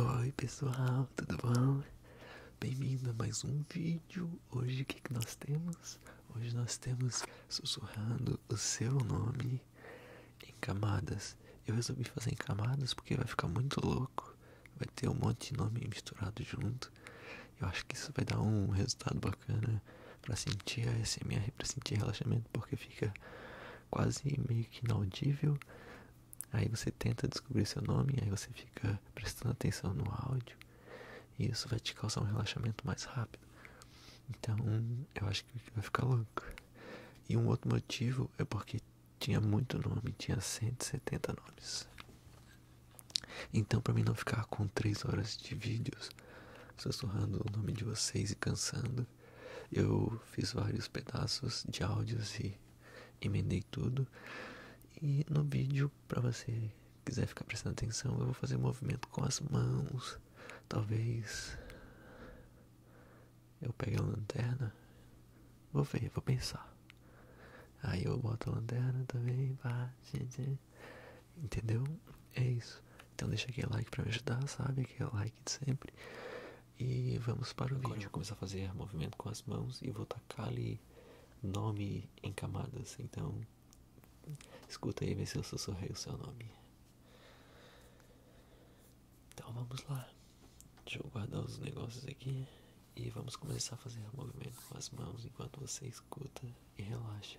Oi pessoal, tudo bom? Bem-vindo a mais um vídeo. Hoje o que, que nós temos? Hoje nós temos sussurrando o seu nome em camadas. Eu resolvi fazer em camadas porque vai ficar muito louco. Vai ter um monte de nome misturado junto. Eu acho que isso vai dar um resultado bacana para sentir a SMR, para sentir relaxamento, porque fica quase meio que inaudível Aí você tenta descobrir seu nome, aí você fica prestando atenção no áudio e isso vai te causar um relaxamento mais rápido. Então eu acho que vai ficar louco. E um outro motivo é porque tinha muito nome, tinha 170 nomes. Então para mim não ficar com 3 horas de vídeos sussurrando o nome de vocês e cansando, eu fiz vários pedaços de áudios e emendei tudo. E no vídeo, para você quiser ficar prestando atenção, eu vou fazer um movimento com as mãos. Talvez eu pegue a lanterna. Vou ver, vou pensar. Aí eu boto a lanterna também, pá, entendeu? É isso. Então deixa aquele like pra me ajudar, sabe? Aquele like de sempre. E vamos para o vídeo. Vou começar a fazer movimento com as mãos e vou tacar-lhe nome em camadas. Então, escuta aí, ver se eu sussurrei o seu nome. Então vamos lá. Deixa eu guardar os negócios aqui. E vamos começar a fazer movimento com as mãos enquanto você escuta e relaxa.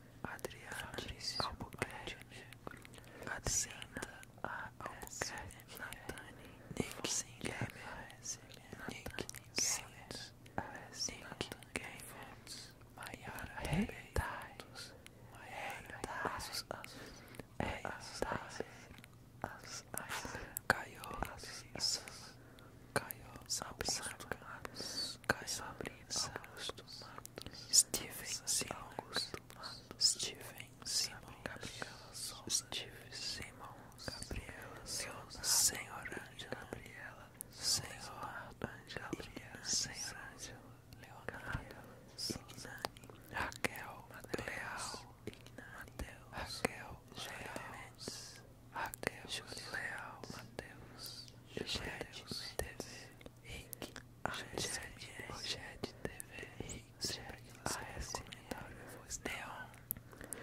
Adriana Fabrício Albuquerque, Adriana A. Albuquerque, Natani, Nick Singer, Nick Gamer, Nick Gamer, Maiara Rebeitos, Maiara Asus, Asus, Asus, Caio, Asus, Caio, Samsung, Caio, Simmons, Steven Simmons, Steven Simmons, Steve Simmons, Gabriela Senhora Gabriela, Senhora Senhor Senhora Leonardo, Sinani, Raquel, Leal, Ignateus, Raquel, Geraldes, Raquel, Leal, Mateus, Geraldes, TV, Rick Rogério TV Rick AS comentário eu vou instalar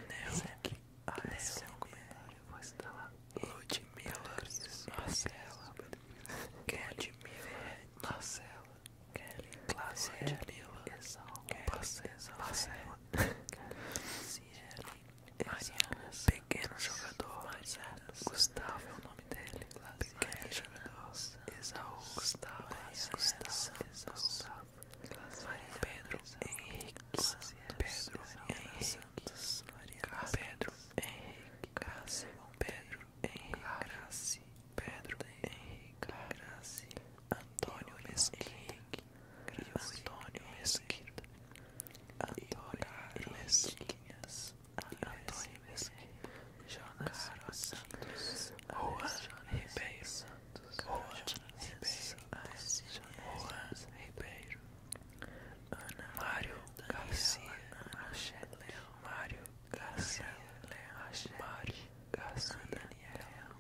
Neon Sempre AS comentário eu Ludmilla Marcela Kelly Marcela Kelly Cláudia Ludmilla Marcela Pequeno Jogador Gustavo nome dele, pequeno jogador, Esaú Gustavo, Gustavo, Gustavo, Maria Pedro Henrique, Pedro Henrique, Pedro Henrique, Pedro Henrique, Pedro Henrique, Antônio Mesquita, Pedro Mesquita, Antônio Mesquita. Antônio Mesquita, Jonas Santos, Juan Ribeiro, Juan Ribeiro, Ana Mário Garcia, Mário Garcia, Mário Garcia, Daniel,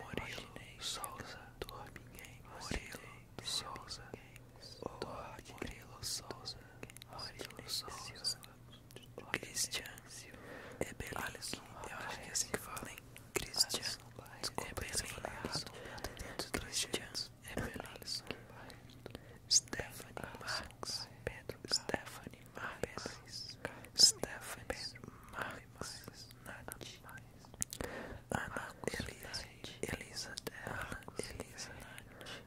Murilo Souza, Murilo Souza o Grilo Souza, Rodrilo Souza, Christian Ebelin, eu acho que é assim que fala, hein? Christian Ebelin, Christian Ebelin, Stephanie Max, Pedro Stephanie Max, Stephanie Max, Nath, Ana Elisa, Elisa, Ana Elisa, Nath.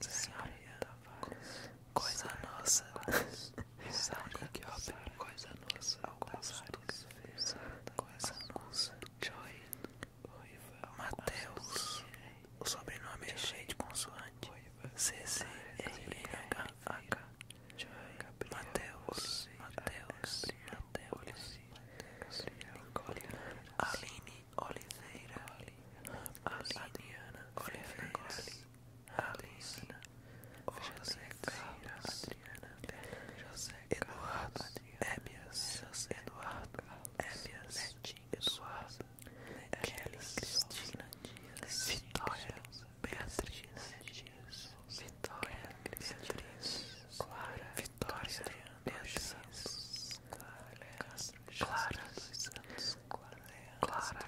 Senhora tá coisa nossa, Sara que obra, coisa nossa, Gonçalves, coisa nossa, Joy, Mateus, o sobrenome é cheio de consoante, CC, H, H, Mateus, Mateus, Mateus, Aline Oliveira, Aline Oliveira. Alina, José Carlos, Adriana, José Eduardo, Ébias, Eduardo, Ébias, Netinho, Eduardo, Kelly, Cristina Dias, Vitória, Beatriz Dias, Vitória, Beatriz, Clara, Vitória, Beatriz, Clara, Clara, Clara, Clara,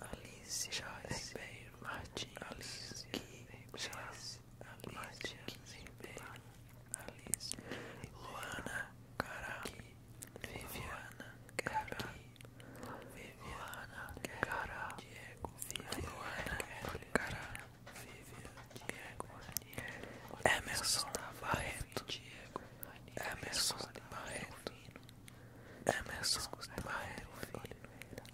Alice, Martins, Alice Joyce Ribeiro Martins, Alice Joyce Martins Ribeiro, Alice Luana Caraqui, Viviana Caraqui, Viviana Cara, Diego Viviana Cara, Viviana Diego, Emerson Barreto, Diego, Emerson Barreto. Emerson Barreto,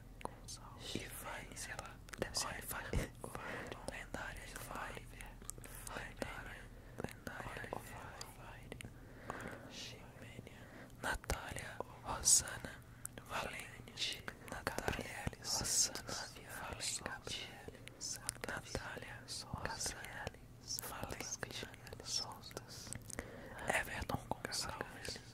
mistura com sal e lendária, vai, vai, lendária, lendária, vai, vai, Natália, Rosana, Valente, Natália, Rosana, Valente, Natália, Rosana, Valente, Everton Gonçalves,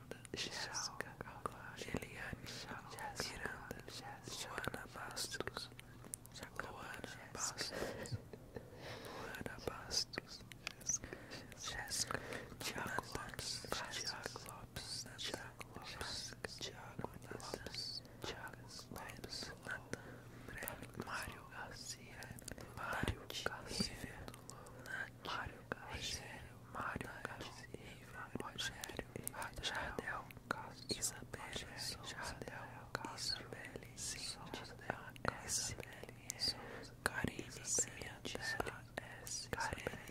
Miranda, Jéssica, Eliane, Miranda, Luana Bastos, Luana Bastos, Luana Bastos, Jéssica, Tiago Lopes, Tiago Lopes, Tiago Lopes, Tiago Lopes, Tiago Lopes, Mário Garcia, Mário Garcia, Mário Rogério, Mário, Rogério, Jardel, Isabelle, Jardel, Isabelle, Isabelle, Karine, S, Karine,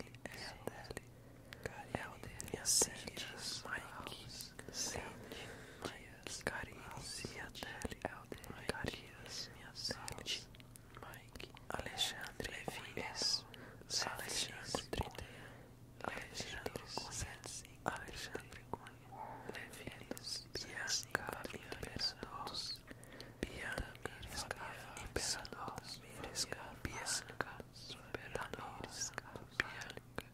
Helder, Cílias, Mike, Cílias, Dias, Karine, Helder, Carias, minha Mike, Mike, Alexandre Levias, Alexandre Trideia, Alexandre Cunha, Alexandre Cunha, Levias, Bianca Imperador, Bianca Imperador, Miresca, Bianca Imperador, Bianca,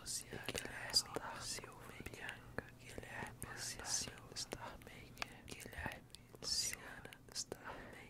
Luciana Silva, Bianca Guilherme Silva, Starmaker, Guilherme Luciana Starmaker.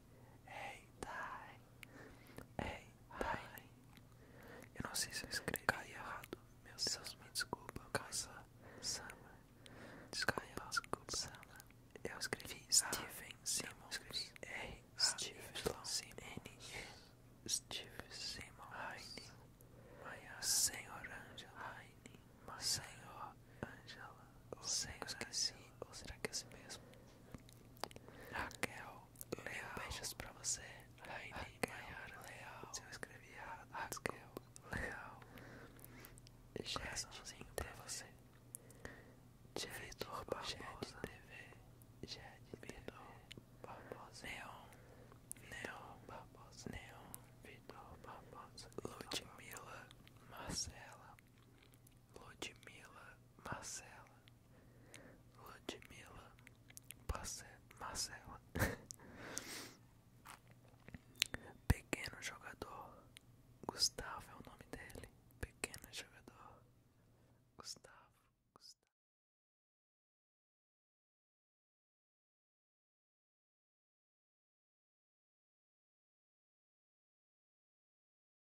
Ei, tai. Ei, tai. Eu não sei se eu escrevi errado. Meu Deus, me desculpa. Casa. Sama. Desculpa. Caia, Eu escrevi ah. Stephen Simon. Escrevi R. Steven Simon. N. E. Steven Simon. Heine. Senhor Angela. Heine. Senhor Angela. Ou será eu esqueci. Ou será que é assim mesmo? Raquel Beijos pra você. Raquel Maiara Leal. Se eu escrevi errado, Raquel Leal. Coraçãozinho pra você. Vitor Barbosa TV. Jade Vitor Barbosa. Neon. Neon Barbosa. Neon Vitor Barbosa. Ludmila Marcela. Ludmila Marcela. Ludmila Marcela Pequeno jogador Gustavo é o nome dele Pequeno jogador Gustavo.